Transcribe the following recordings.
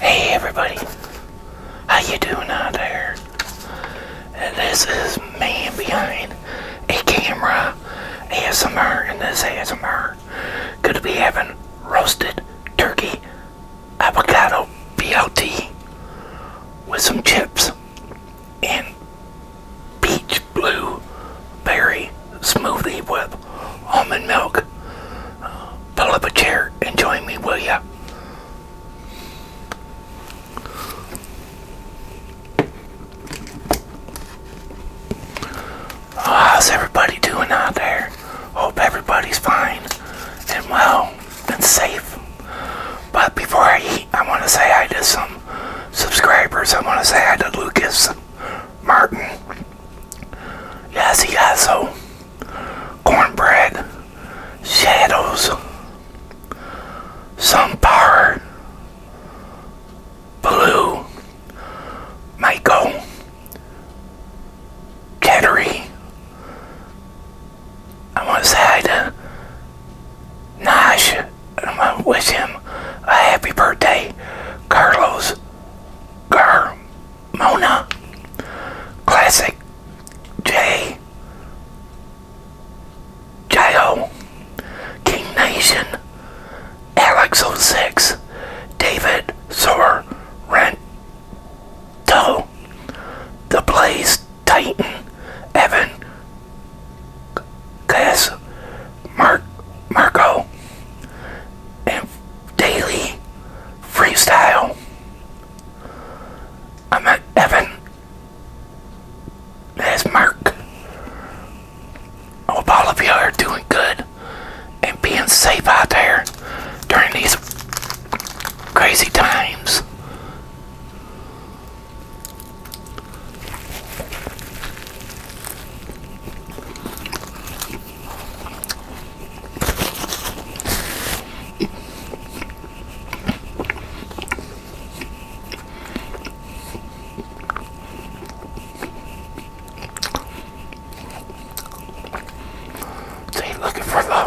Hey everybody, how you doing out there? This is man behind a camera ASMR, and this ASMR gonna be having roasted turkey avocado BLT with some chips and peach blueberry smoothie with almond milk pull up a chair and join me, will you? Oh, how's everybody doing out there? Hope everybody's fine and well and safe. But before I eat, I want to say hi to some subscribers. I want to say hi to Lucas Martin. Yes, he also cornbread, shadows, sunflower, blue, Michael, Kettery. I want to say hi to Nash. I want to wish him a happy birthday, Carlos Gar Mona Classic J J.O. King Nation Alex 06 David Sor Rento The Blaze Titan Evan Cass Mark Marco and Daily freestyle. I am at Evan. That's Mark. hope all of you are doing good and being safe out there during these crazy times. See, looking for the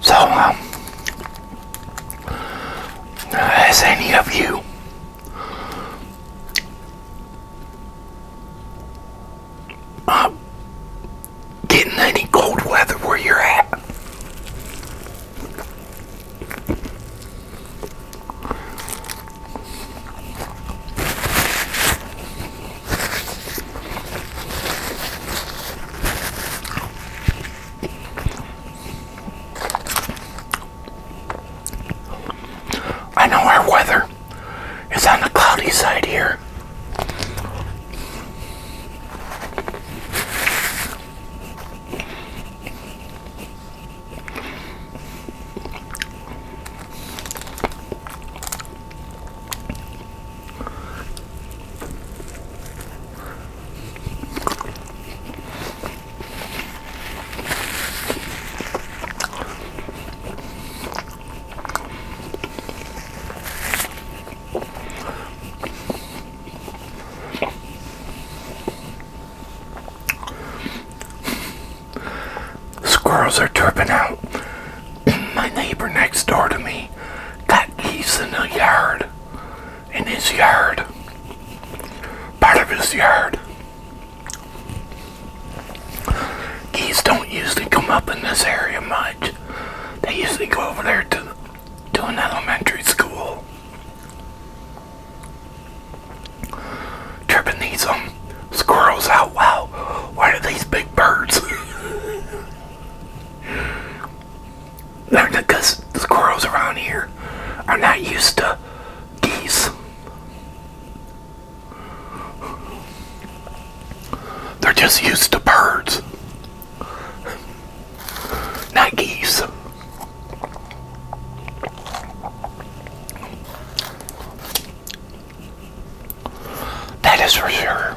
So, um, has any of you uh, um, getting any cold weather where you're at. I know our weather is on the cloudy side here. Squirrels are tripping out. My neighbor next door to me got geese in the yard. In his yard. Part of his yard. Geese don't usually come up in this area much. They usually go over there to, to an elementary school. Tripping these um, squirrels out. Wow, why are these big birds? because the squirrels around here are not used to geese. They're just used to birds, not geese. That is for sure.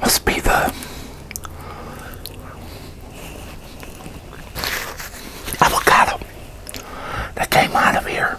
Must be the avocado that came out of here.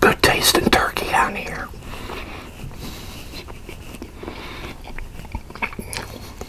Good tasting turkey down here.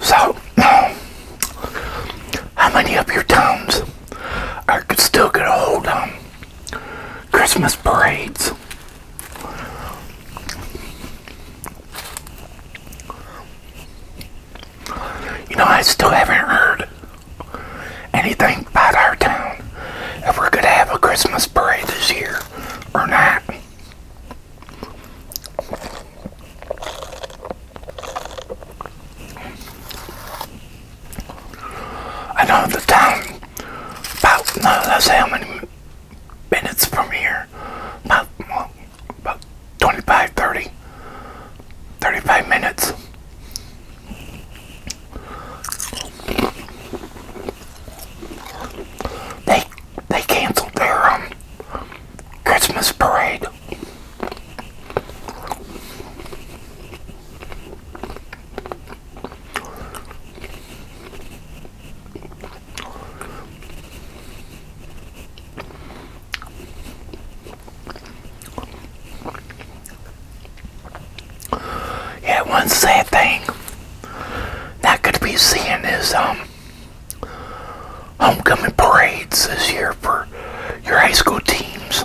So, how many of your towns are still going to hold on um, Christmas parades? You know, I still haven't heard anything about our town if we're going to have a Christmas parade this year or not. I know the town about no, that's how many minutes from here. About, about 25, 30, 35 minutes. They they canceled their um, Christmas parade. Yeah, one sad thing not going to be seeing is um, homecoming parades this year for your high school teams.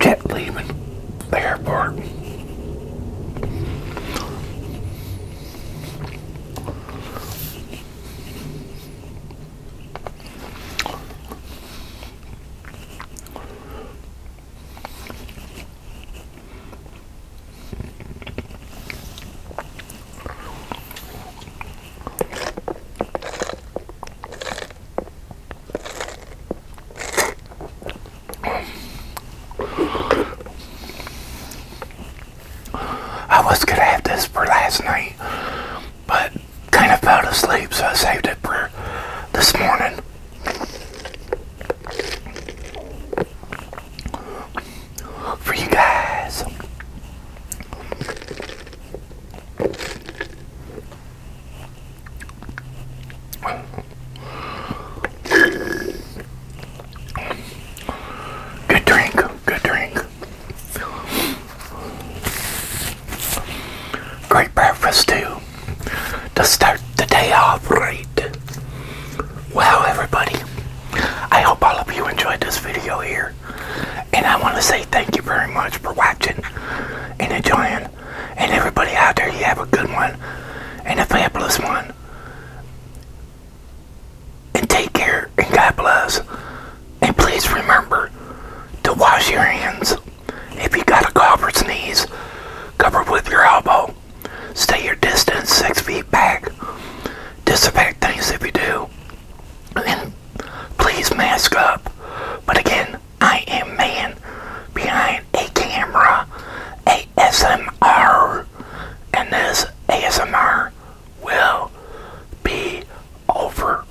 Jet leaving the airport. I was gonna have this for last night, but kind of fell asleep, so I saved it for this morning for you guys. Good drink, good drink. Great breakfast, too to start the day off right. Well, everybody, I hope all of you enjoyed this video here. And I want to say thank you very much for watching and enjoying. And everybody out there, you have a good one and a fabulous one. And take care and God bless. And please remember to wash your hands. If you got a cough or sneeze, cover with your elbow. Stay your distance six feet back. Disinfect things if you do. And please mask up. But again, I am man behind a camera, ASMR, and this ASMR will be over.